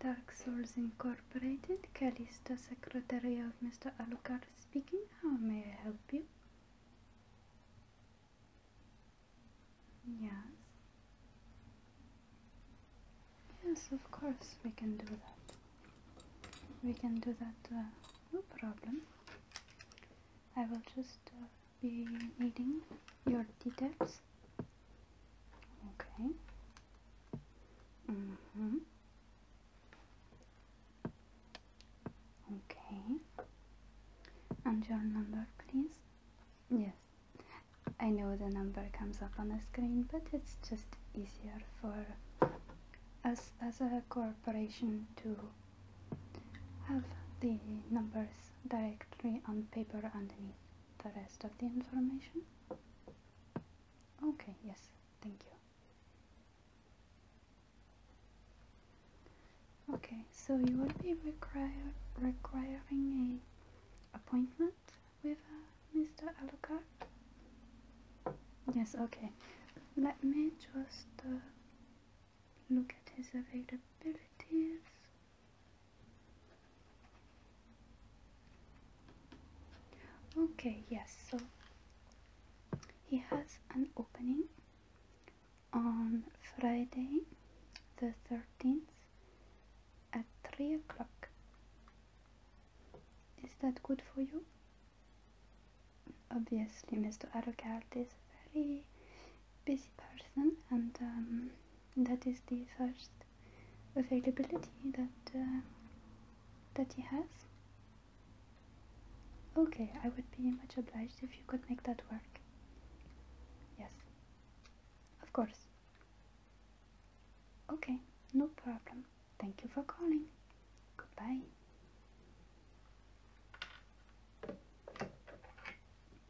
Dark Souls Incorporated, Calista, Secretary of Mr. Alucard speaking. How may I help you? Yes. Yes, of course we can do that. We can do that, uh, no problem. I will just uh, be needing your details. Okay. Mm -hmm. Okay. And your number, please. Yes. I know the number comes up on the screen, but it's just easier for us as a corporation to have the numbers directly on paper underneath the rest of the information? Okay, yes, thank you. Okay, so you will be require, requiring a appointment with uh, Mr. Alucard? Yes, okay. Let me just uh, look at his availabilities. Okay, yes, so he has an opening on Friday the 13th at 3 o'clock. Is that good for you? Obviously, Mr. Arrogal is very busy person, and um, that is the first availability that uh, that he has. Okay, I would be much obliged if you could make that work. Yes, of course. Okay, no problem. Thank you for calling. Goodbye.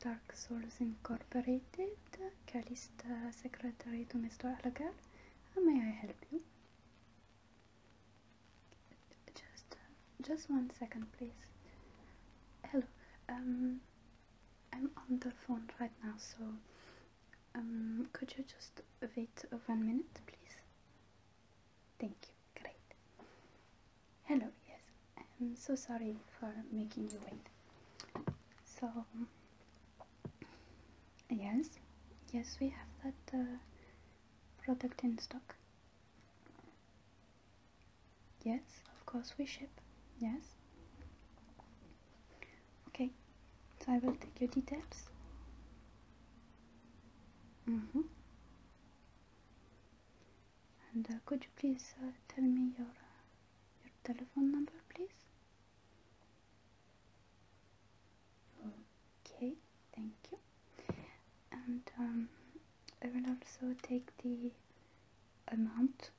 Dark Souls Incorporated, Calista Secretary to Mr. Alagar. May I help you? Just, just one second, please. Hello. Um, I'm on the phone right now, so um, could you just wait one minute, please? Thank you. Great. Hello. Yes. I'm so sorry for making you wait. So yes, yes, we have that uh, product in stock. Yes, of course we ship. Yes. Okay. So I will take your details. Mm-hmm. And uh, could you please uh, tell me your uh, your telephone number, please? Okay, thank you. And um, I will also take the amount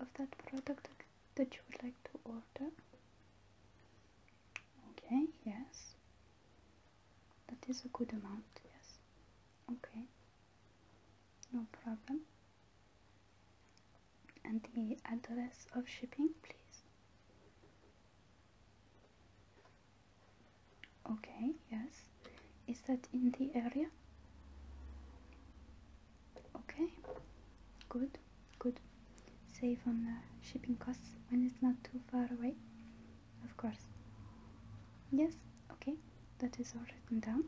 of that product that you would like to order. Okay, yes. That is a good amount, yes. Okay, no problem. And the address of shipping, please. Okay, yes. Is that in the area? Okay, good, good. Save on the shipping costs when it's not too far away of course. Yes, okay, that is all written down.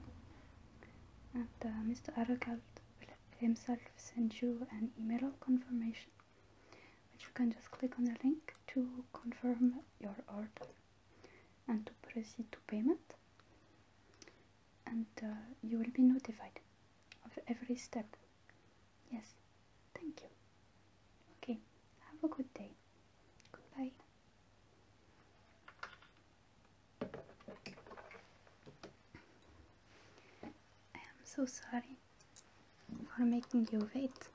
And uh, Mr. Arakald will himself send you an email confirmation, which you can just click on the link to confirm your order and to proceed to payment. And uh, you will be notified of every step. Yes, thank you. Okay, have a good day. Goodbye. I am so sorry for making you wait.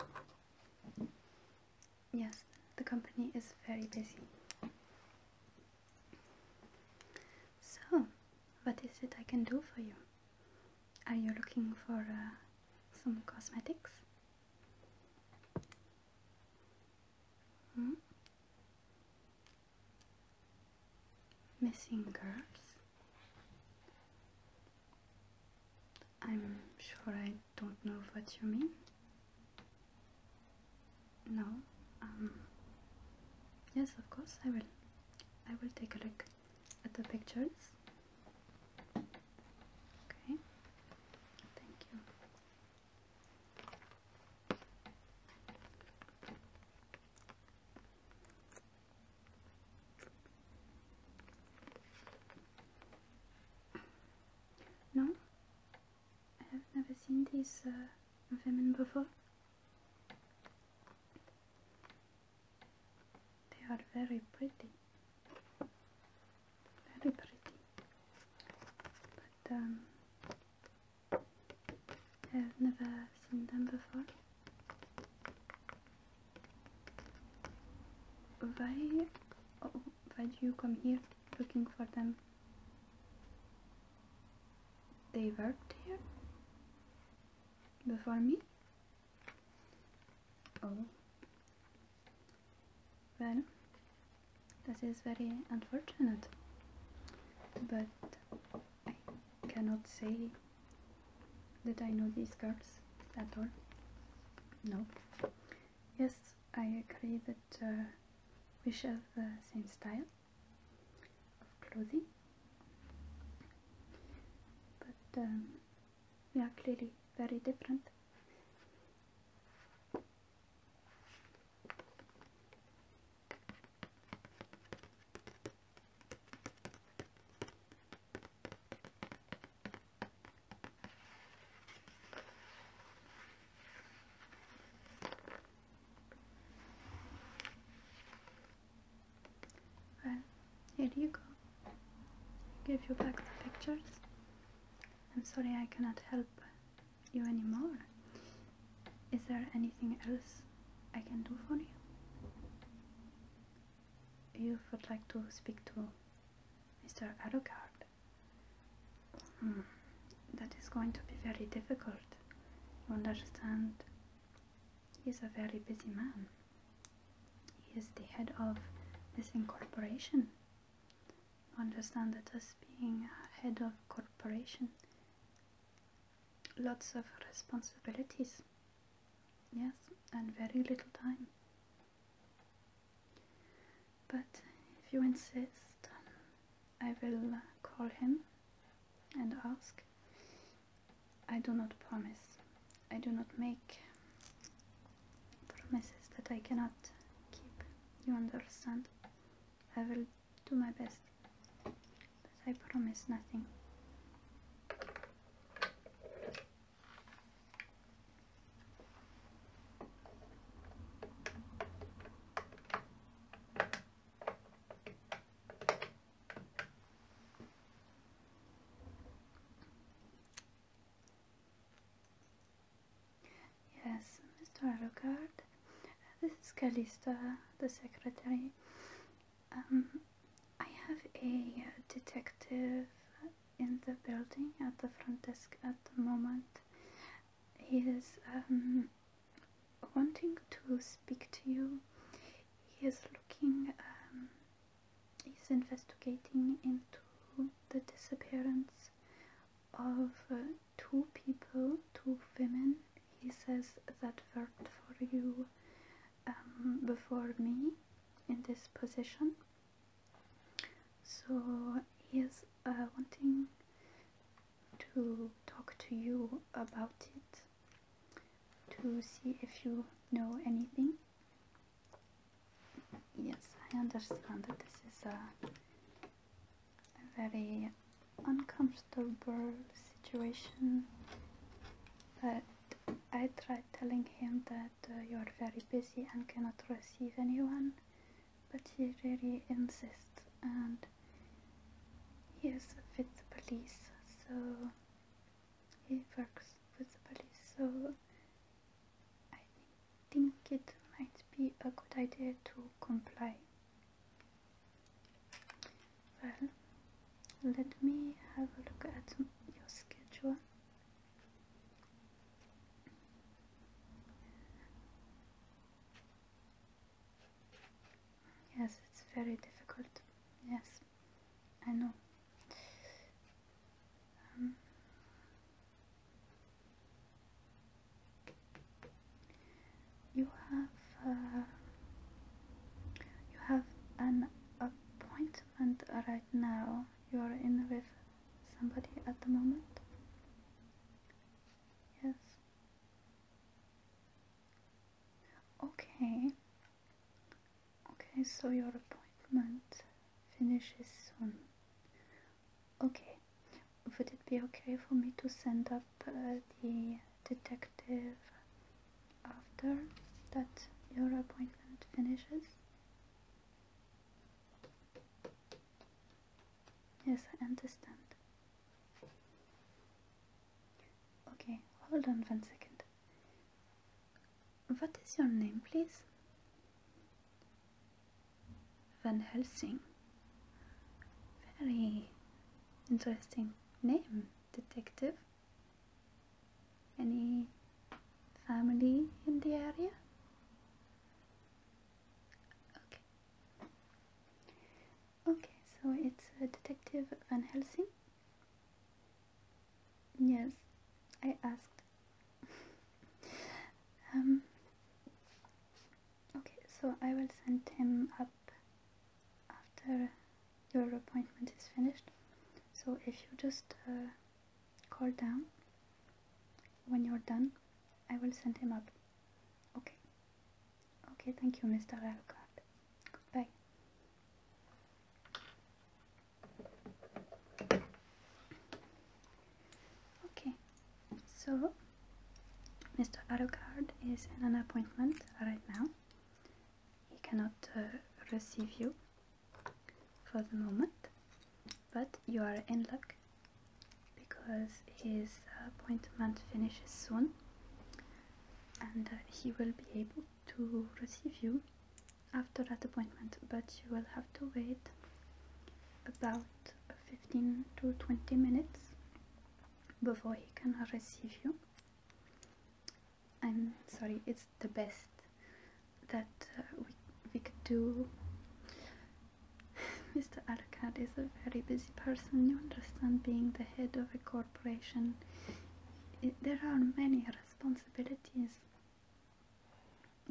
Yes, the company is very busy. So, what is it I can do for you? Are you looking for uh, some cosmetics? Hmm? Missing girls? I'm sure I don't know what you mean. No, um, yes, of course I will. I will take a look at the pictures. Okay, thank you. No, I have never seen these uh, women before. They are very pretty. Very pretty. But um, I've never seen them before. Why, oh, why do you come here looking for them? They worked here? Before me? Oh, well, that is very unfortunate, but I cannot say that I know these girls at all. No. Yes, I agree that uh, we share the uh, same style of clothing, but um, we are clearly very different. Well, here you go. Give you back the pictures. I'm sorry I cannot help you anymore. Is there anything else I can do for you? You would like to speak to Mr. Arrogard? Hmm, that is going to be very difficult. You understand? He is a very busy man. He is the head of this incorporation understand that as being head of corporation, lots of responsibilities, yes, and very little time. But if you insist, I will call him and ask. I do not promise. I do not make promises that I cannot keep. You understand? I will do my best, but I promise nothing. Yes, Mr. Alucard, this is Calista, the secretary. Um, I have a uh, detective in the building at the front desk at the moment. He is um, wanting to speak to you. He is looking, um, he's investigating into the disappearance of uh, two people, two women. He says that worked for you um, before me in this position. So he is uh, wanting to talk to you about it to see if you know anything. Yes, I understand that this is a, very uncomfortable situation, but I tried telling him that uh, you are very busy and cannot receive anyone, but he really insists and he is with the police, so he works with the police, so I think it might be a good idea to comply. Well, let me have a look at your schedule. Yes, it's very difficult. Yes, I know. Um, you have uh, you have an appointment right now. You are in with somebody at the moment. Yes. Okay. Okay, so your appointment finishes soon. Okay, would it be okay for me to send up uh, the detective after that your appointment finishes? Yes, I understand. Okay, hold on one second. What is your name, please? Van Helsing. Very interesting name, detective. Any family in the area? Okay. so it's uh, Detective Van Helsing. Yes, I asked um, okay, so I will send him up after your appointment is finished. So if you just uh, call down when you're done, I will send him up. Okay. Okay, thank you, Mr. Alcott. Goodbye. Okay, so Mr. Arrogard is in an appointment right now. He cannot uh, receive you for the moment, but you are in luck because his appointment finishes soon and uh, he will be able to receive you after that appointment, but you will have to wait about 15 to 20 minutes before he can receive you I'm sorry it's the best that uh, we, we could do Mr. Arkad is a very busy person you understand being the head of a corporation there are many responsibilities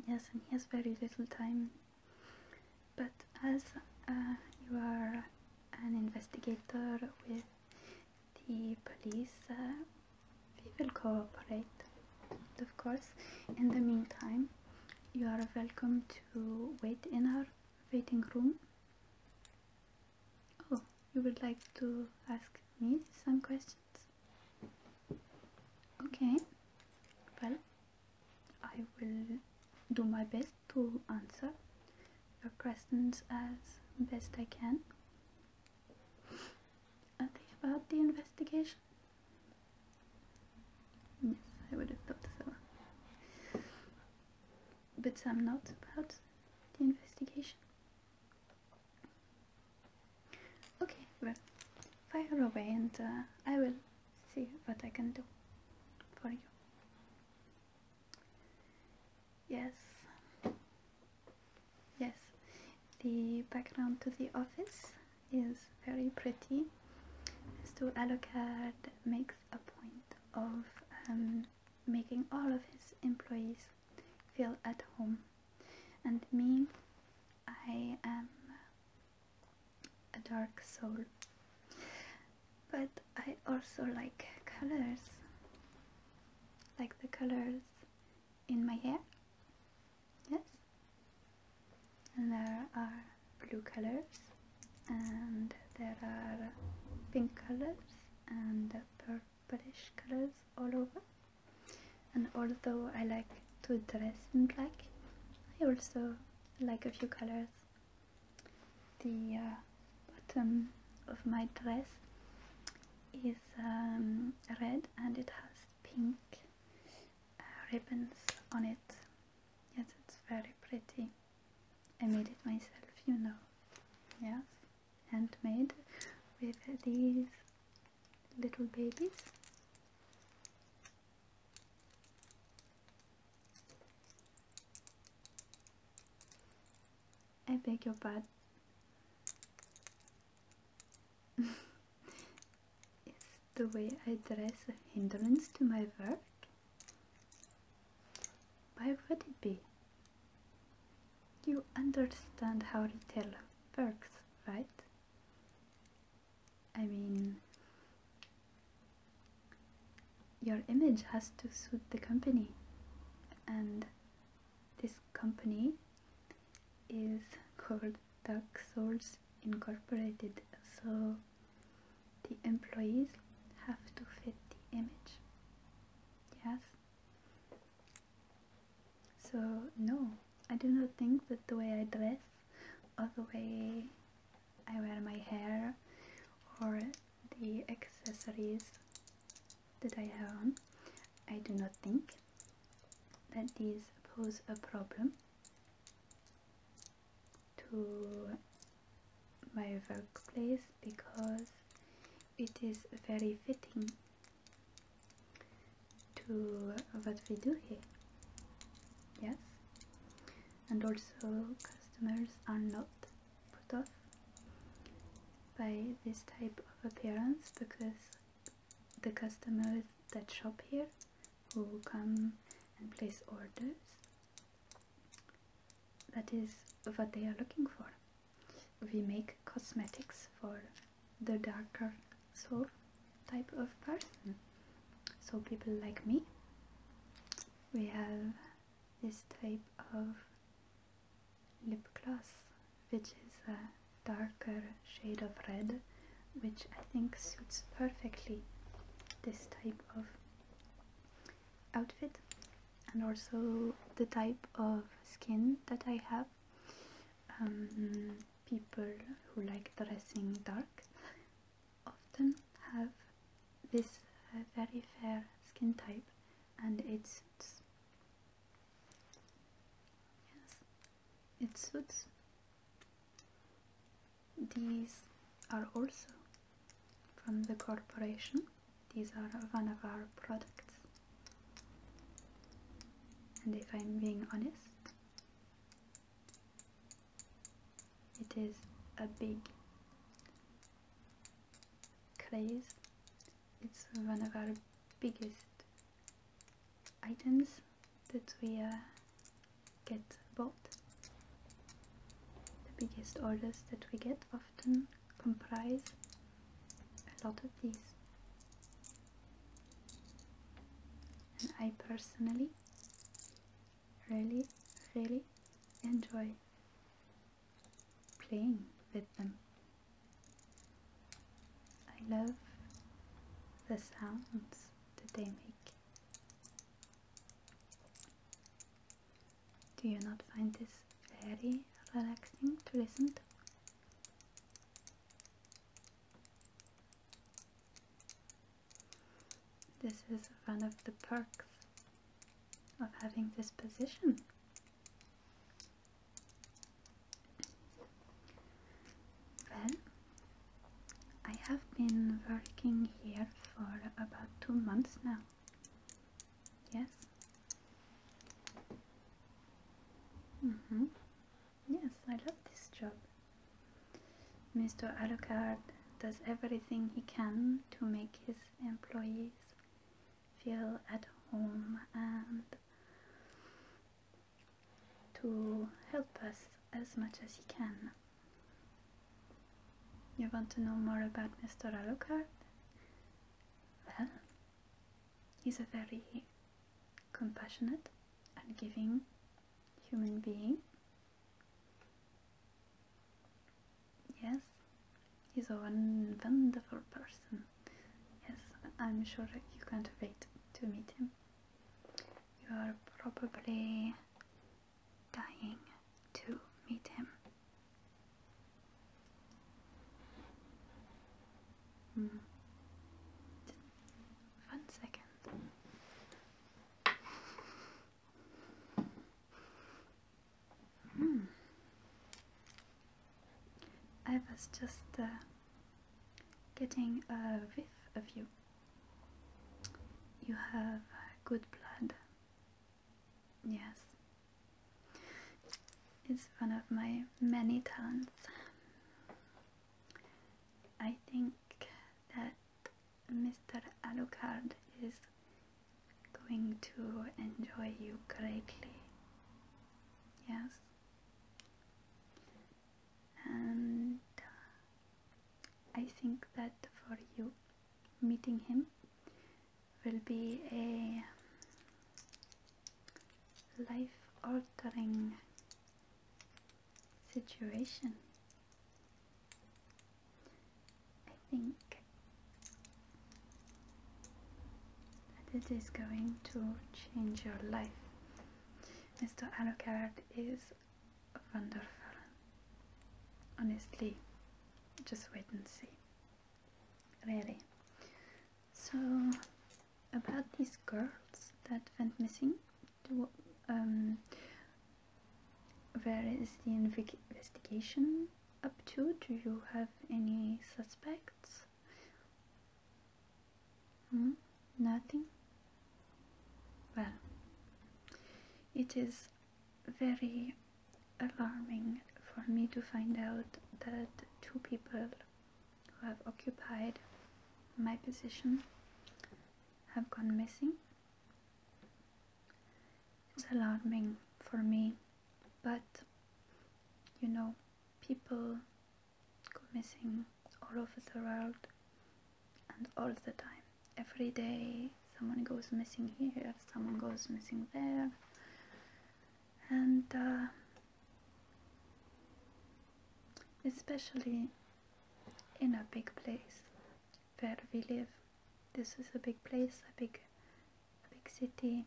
Yes, and he has very little time. But as uh, you are an investigator with the police, uh, we will cooperate, of course. In the meantime, you are welcome to wait in our waiting room. Oh, you would like to ask me some questions? Okay, well, I will do my best to answer your questions as best I can. Are they about the investigation? Yes, I would have thought so. But I'm not about the investigation. Okay, well, fire away and uh, I will see what I can do for you. Yes, yes, the background to the office is very pretty. Mr. Alucard makes a point of um, making all of his employees feel at home, and me, I am a dark soul. But I also like colors, like the colors in my hair, yes. And there are blue colors, and there are pink colors, and purplish colors all over. And although I like to dress in black, I also like a few colors the uh, bottom of my dress is um, red and it has pink uh, ribbons on it yes it's very pretty I made it myself you know yes handmade with these little babies I beg your pardon. Is the way I dress a hindrance to my work? Why would it be? You understand how retail works, right? I mean, your image has to suit the company, and this company is called Dark Souls Incorporated, so the employees have to fit the image. Yes? So, no, I do not think that the way I dress or the way I wear my hair or the accessories that I have on. I do not think that these pose a problem to my workplace because it is very fitting to what we do here. Yes? and also customers are not put off by this type of appearance because the customers that shop here who come and place orders that is what they are looking for we make cosmetics for the darker so type of person so people like me we have this type of lip gloss which is a darker shade of red which I think suits perfectly this type of outfit and also the type of skin that I have um, people who like dressing dark often have this very fair skin type and it suits yes it suits these are also from the corporation these are one of our products and if I'm being honest it is a big craze. It's one of our biggest items that we uh, get bought. The biggest orders that we get often comprise a lot of these. And I personally really, really enjoy playing with them. I love the sounds that they make. Do you not find this very relaxing to listen to? This is one of the perks of having this position. Well, I have been working here for about two months now. Yes. Mm-hmm. Yes, I love this job. Mr. Alucard does everything he can to make his employees feel at home and to help us as much as he can. You want to know more about Mr. Alucard? Well, he's a very compassionate and giving human being Yes, he's a wonderful person. Yes, I'm sure you can't wait to meet him. You are probably dying to meet him. Hmm. One second. Mm. I was just uh, getting a whiff of you. You have uh, good blood. Yes. It's one of my many talents. I think that Mr. Alucard is going to enjoy you greatly. Yes? And uh, I think that for you, meeting him will be a um, life altering situation. I think that it is going to change your life. Mr. Alucard is wonderful. Honestly, just wait and see. Really. So, about these girls that went missing, um, where is the investigation up to? Do you have any suspects? Hmm? Nothing? Well, it is very alarming for me to find out that two people who have occupied my position have gone missing it's alarming for me, but you know, people go missing all over the world and all the time. Every day, someone goes missing here, someone goes missing there, and uh, especially in a big place where we live. This is a big place, a big, a big city,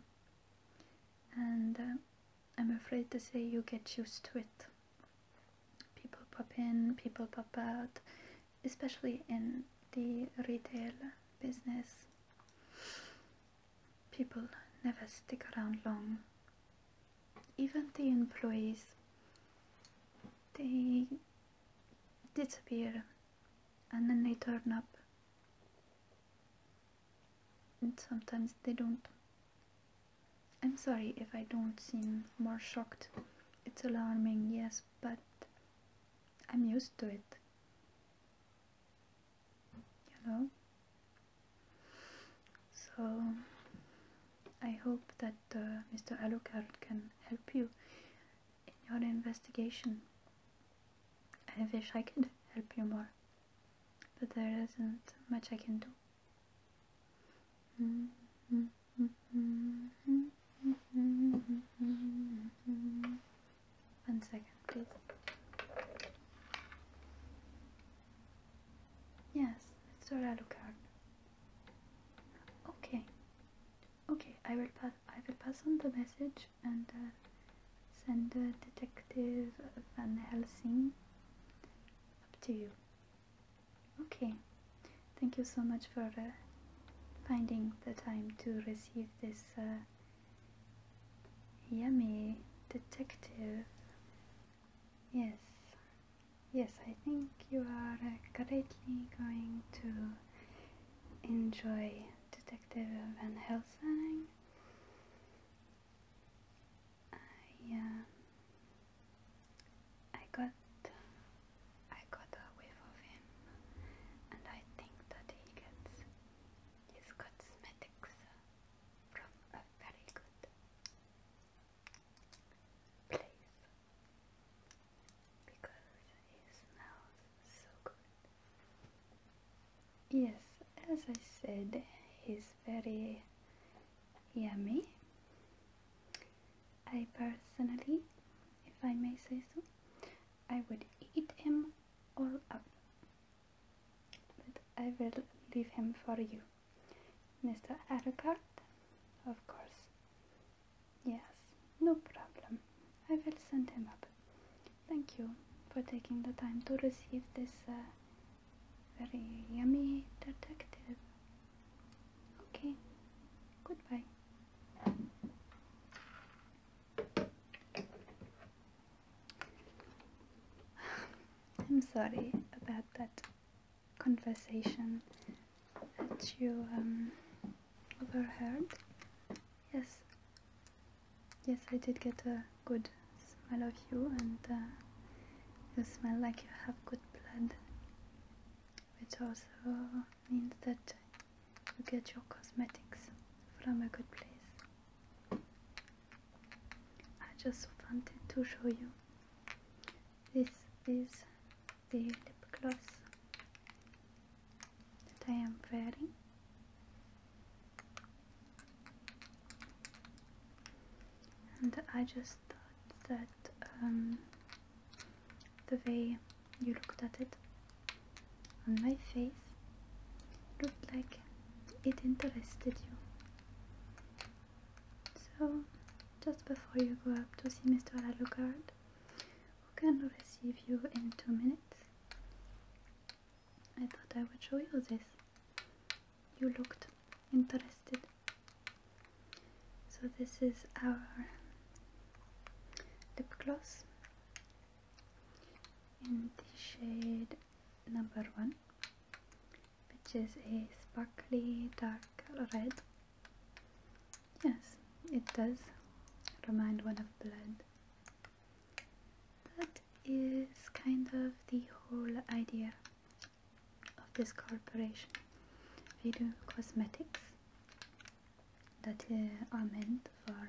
and uh, I'm afraid to say you get used to it. People pop in, people pop out, especially in the retail business. People never stick around long. Even the employees, they disappear and then they turn up and sometimes they don't I'm sorry if I don't seem more shocked it's alarming yes but I'm used to it you so I hope that uh, Mr. Alucard can help you in your investigation. I wish I could help you more, but there isn't much I can do. One second, please. Yes, Mr. Alucard. Okay. Okay, I will pass. I will pass on the message and uh, send the Detective uh, Van Helsing up to you. Okay. Thank you so much for uh, finding the time to receive this yummy detective. Yes, Yes, I think you are greatly going to enjoy Detective Van Helsing. I, uh, I got I got a whiff of him, and I think that he gets his cosmetics from a very good Yes, as I said, he's very yummy. I personally, if I may say so, I would eat him all up. But I will leave him for you. Mr. Aragard, of course. Yes, no problem. I will send him up. Thank you for taking the time to receive this uh, very yummy detective. Okay, goodbye. I'm sorry about that conversation that you um, overheard. Yes, yes, I did get a good smell of you, and uh, you smell like you have good blood, which also means that you get your cosmetics from a good place. I just wanted to show you. This is the lip gloss that I am wearing. And I just thought that um, the way you looked at it on my face looked like it interested you. So, just before you go up to see Mr. Alucard, who can receive you in two minutes? I thought I would show you this. You looked interested. So this is our lip gloss in the shade number one, which is a sparkly dark red. Yes, it does remind one of blood. That is kind of the whole idea of this corporation. We do cosmetics that uh, are meant for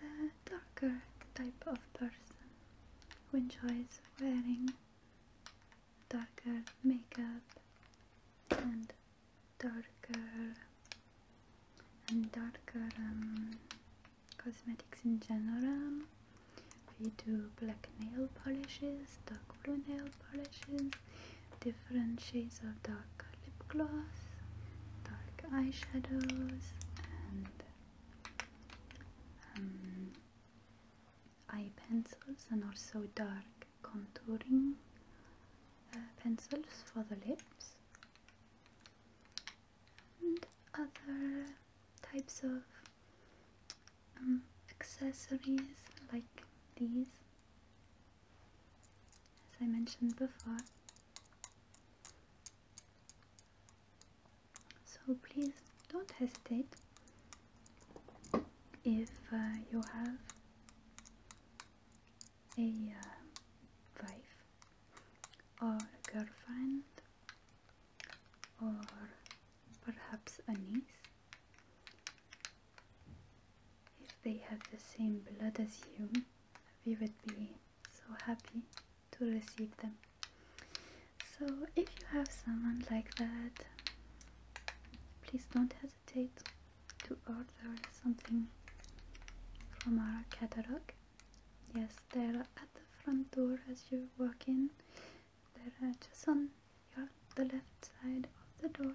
the darker type of person who enjoys wearing darker makeup and darker and darker um, cosmetics in general. We do black nail polishes, dark blue nail polishes, different shades of dark lip gloss, dark eyeshadows, and um, eye pencils, and also dark contouring uh, pencils for the lips and other types of um, accessories like these as I mentioned before so please don't hesitate if uh, you have a uh, wife or a girlfriend or perhaps a niece if they have the same blood as you we would be so happy to receive them so if you have someone like that please don't hesitate to order something from our catalog. Yes, they're at the front door as you walk in. They're just on the left side of the door.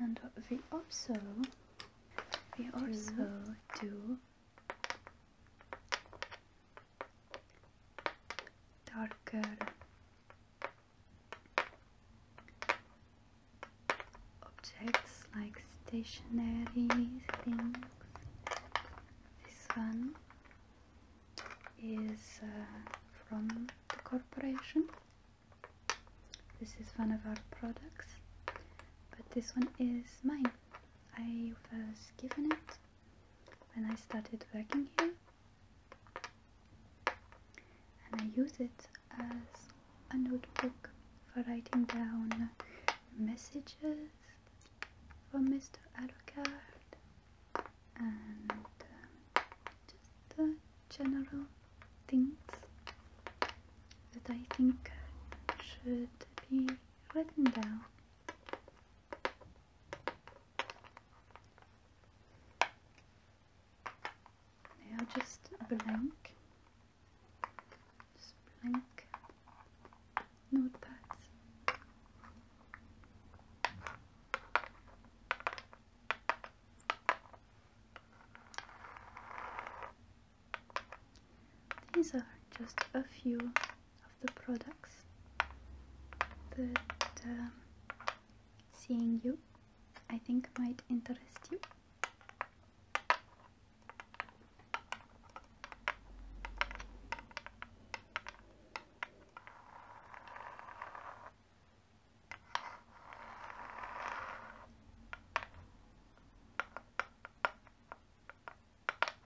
And we also we also do darker objects like stationary things. This one is uh, from the corporation. This is one of our products, but this one is mine. I was given it when I started working here and I use it as a notebook for writing down messages for Mr. Alucard and um, just uh, general things that I think should be written down now just blank, just blank notepads. These are just a few the products but um, seeing you I think might interest you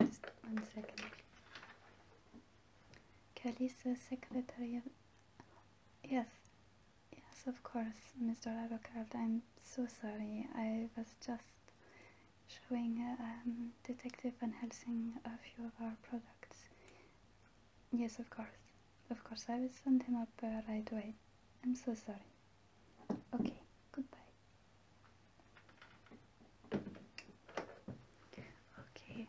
Just one second. Kalisa Secretary. Yes, yes, of course, Mr. Arocard. I'm so sorry. I was just showing uh, Detective Van Helsing a few of our products. Yes, of course. Of course, I will send him up uh, right away. I'm so sorry. Okay, goodbye. Okay,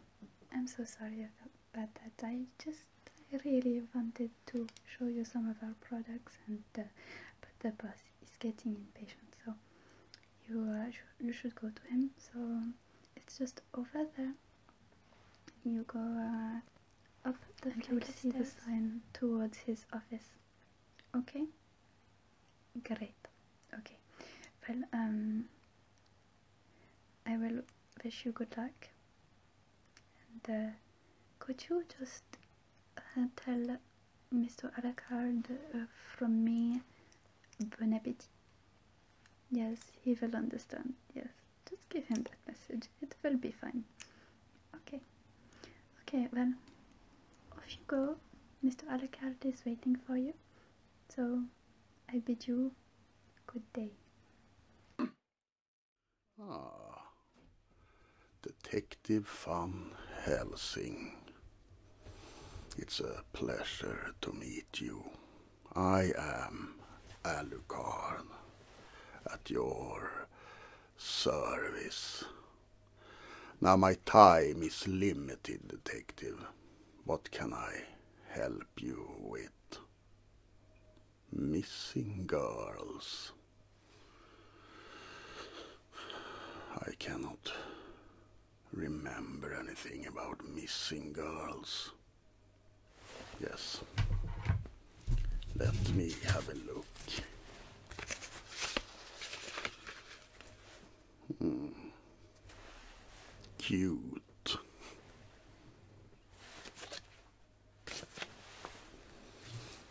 I'm so sorry about that. I just really wanted to show you some of our products, and uh, but the boss is getting impatient, so you uh, you should go to him. So it's just over there. You go uh, up the flight stairs. the sign towards his office. Okay? Great. Okay. Well, um, I will wish you good luck. And uh, could you just uh, tell Mr. Arakard uh, from me bon appetit? Yes, he will understand. Yes just give him that message. It will be fine. Okay. Okay, well, off you go. Mr. Alucard is waiting for you. So, I bid you good day. Ah. Detective Van Helsing. It's a pleasure to meet you. I am Alucard at your service. Now my time is limited, detective. What can I help you with? Missing girls. I cannot remember anything about missing girls. Yes. Let me have a look. Hmm. Cute.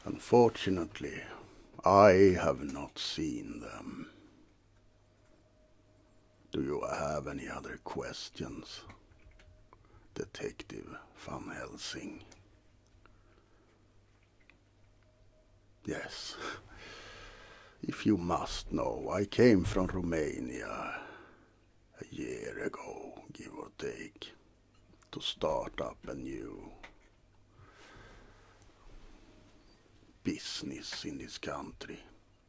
Unfortunately, I have not seen them. Do you have any other questions? Detective Van Helsing. Yes, if you must know, I came from Romania a year ago, give or take, to start up a new business in this country.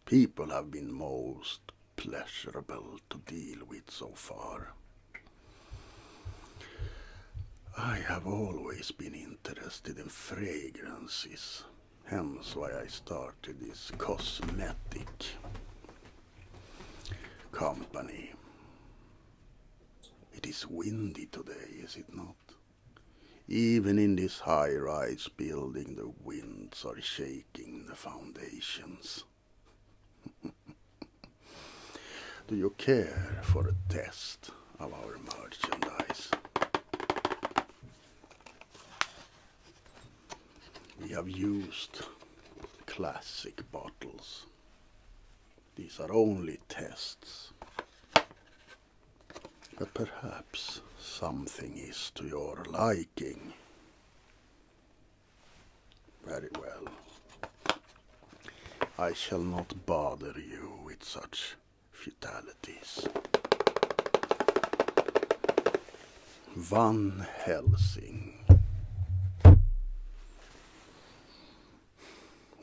People have been most pleasurable to deal with so far. I have always been interested in fragrances, hence why I started this cosmetic company. It is windy today, is it not? Even in this high-rise building, the winds are shaking the foundations. Do you care for a test of our merchandise? We have used classic bottles. These are only tests. But perhaps something is to your liking. Very well. I shall not bother you with such futilities. Van Helsing.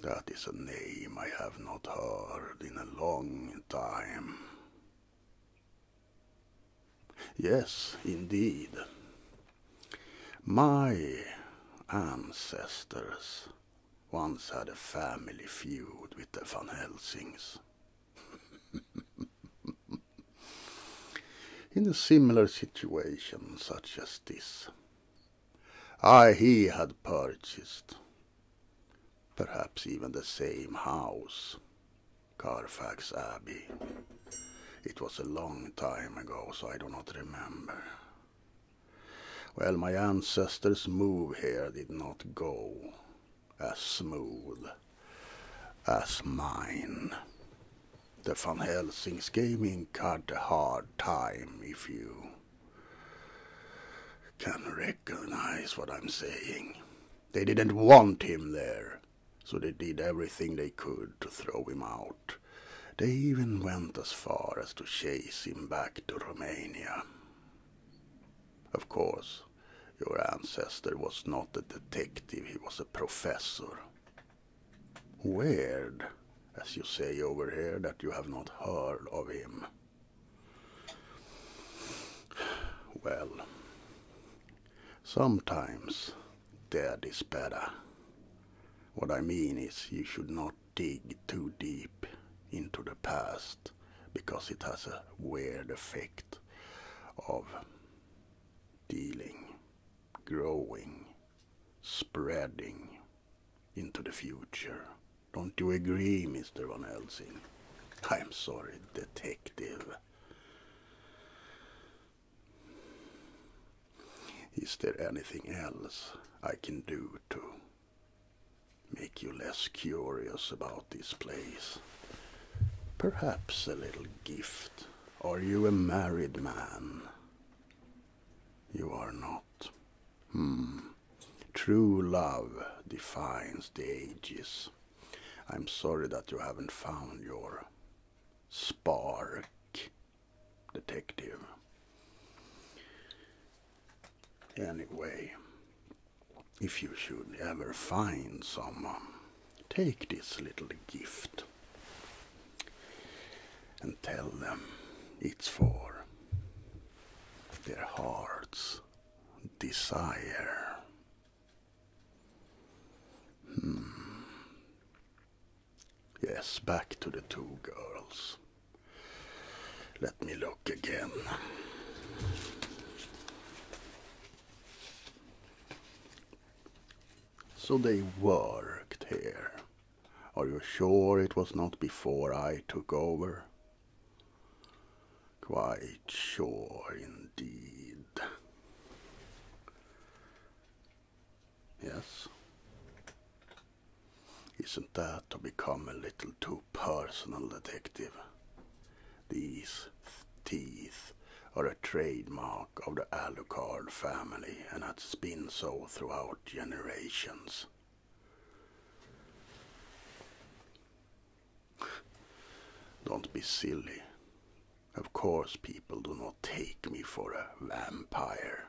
That is a name I have not heard in a long time. Yes, indeed. My ancestors once had a family feud with the Van Helsings. In a similar situation such as this, I he had purchased perhaps even the same house, Carfax Abbey. It was a long time ago, so I do not remember. Well, my ancestors' move here did not go as smooth as mine. The von Helsings gave me cut a hard time, if you can recognize what I'm saying. They didn't want him there so they did everything they could to throw him out. They even went as far as to chase him back to Romania. Of course, your ancestor was not a detective, he was a professor. Weird, as you say over here, that you have not heard of him. Well, sometimes there is better. What I mean is you should not dig too deep into the past because it has a weird effect of dealing, growing, spreading into the future. Don't you agree, Mr. Van Helsing? I'm sorry, detective. Is there anything else I can do to make you less curious about this place? Perhaps a little gift. Are you a married man? You are not. Hmm. True love defines the ages. I'm sorry that you haven't found your Spark Detective. Anyway, if you should ever find someone, um, take this little gift and tell them it's for their heart's desire. Hmm. Yes, back to the two girls. Let me look again. So they worked here. Are you sure it was not before I took over? Quite sure indeed. Yes. Isn't that to become a little too personal, detective? These teeth are a trademark of the Alucard family and has been so throughout generations. Don't be silly. Of course, people do not take me for a vampire.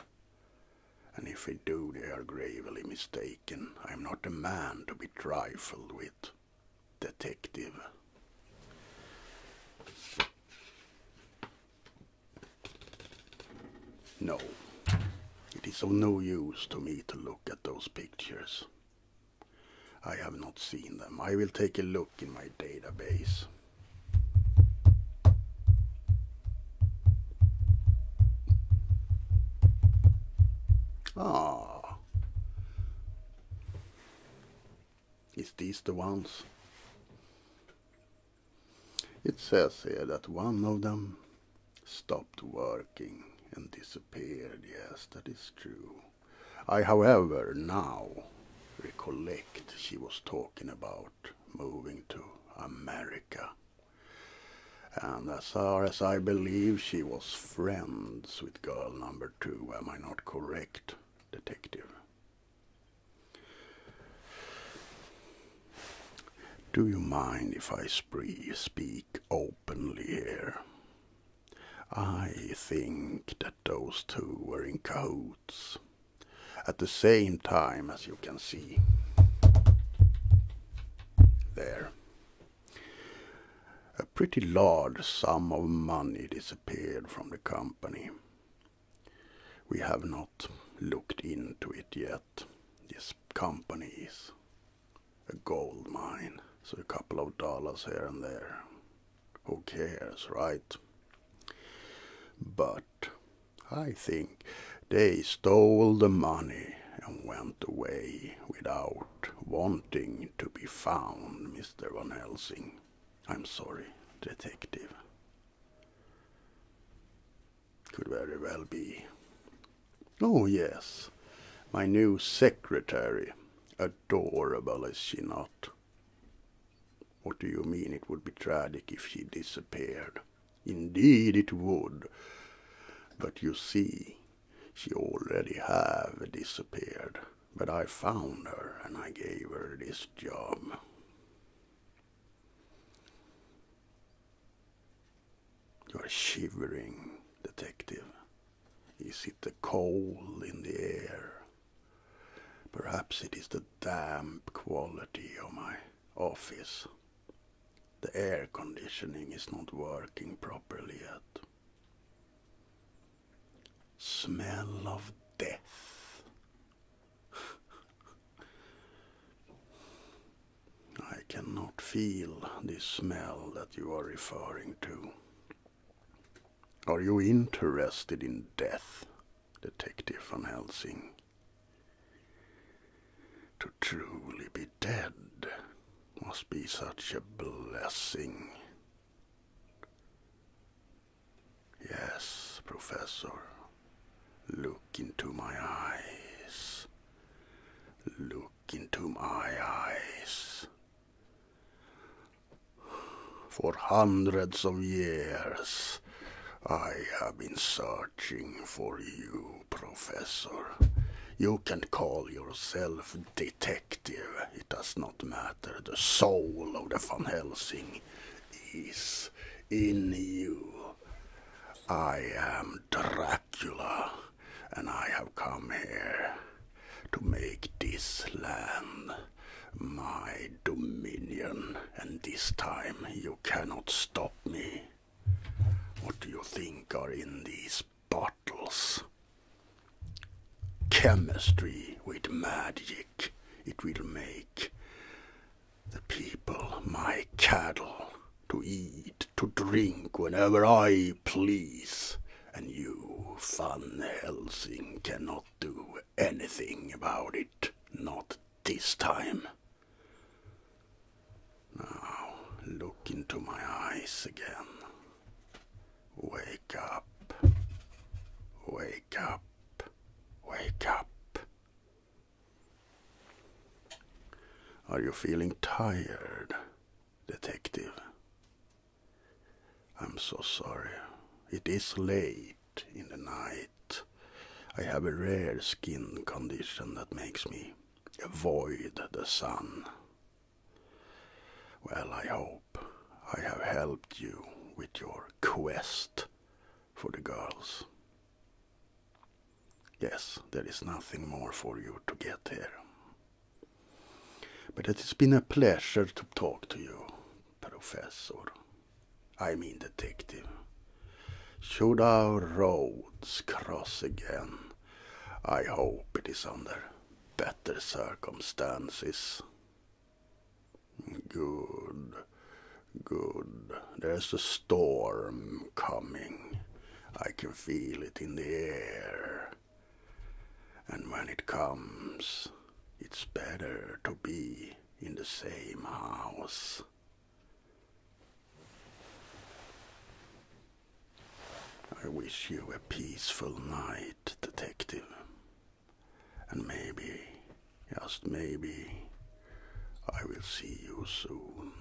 And if they do, they are gravely mistaken. I am not a man to be trifled with. Detective. No, it is of no use to me to look at those pictures. I have not seen them. I will take a look in my database. Ah, is these the ones? It says here that one of them stopped working and disappeared. Yes, that is true. I, however, now recollect she was talking about moving to America. And as far as I believe, she was friends with girl number two. Am I not correct, detective? Do you mind if I speak openly here? I think that those two were in cahoots at the same time as you can see there. A pretty large sum of money disappeared from the company. We have not looked into it yet. This company is a gold mine, so a couple of dollars here and there who cares, right? But I think they stole the money and went away without wanting to be found, Mr. Van Helsing. I'm sorry, detective. Could very well be. Oh, yes, my new secretary, adorable, is she not? What do you mean it would be tragic if she disappeared? Indeed it would. But you see, she already have disappeared. But I found her and I gave her this job. You're shivering, detective. Is it the cold in the air? Perhaps it is the damp quality of my office. The air conditioning is not working properly yet. Smell of death. I cannot feel this smell that you are referring to. Are you interested in death, Detective Van Helsing? To truly be dead must be such a blessing. Yes, Professor. Look into my eyes. Look into my eyes. For hundreds of years, I have been searching for you, Professor. You can call yourself detective. It does not matter. The soul of the Van Helsing is in you. I am Dracula, and I have come here to make this land my dominion, and this time you cannot stop me. What do you think are in these bottles? Chemistry with magic. It will make the people, my cattle, to eat, to drink whenever I please. And you, fun, Helsing, cannot do anything about it. Not this time. Now, look into my eyes again. Wake up. Wake up. Wake up. Are you feeling tired, detective? I'm so sorry. It is late in the night. I have a rare skin condition that makes me avoid the sun. Well, I hope I have helped you with your quest for the girls. Yes, there is nothing more for you to get here. But it has been a pleasure to talk to you, Professor. I mean detective. Should our roads cross again, I hope it is under better circumstances. Good, good. There's a storm coming. I can feel it in the air. And when it comes, it's better to be in the same house. I wish you a peaceful night, detective. And maybe, just maybe, I will see you soon.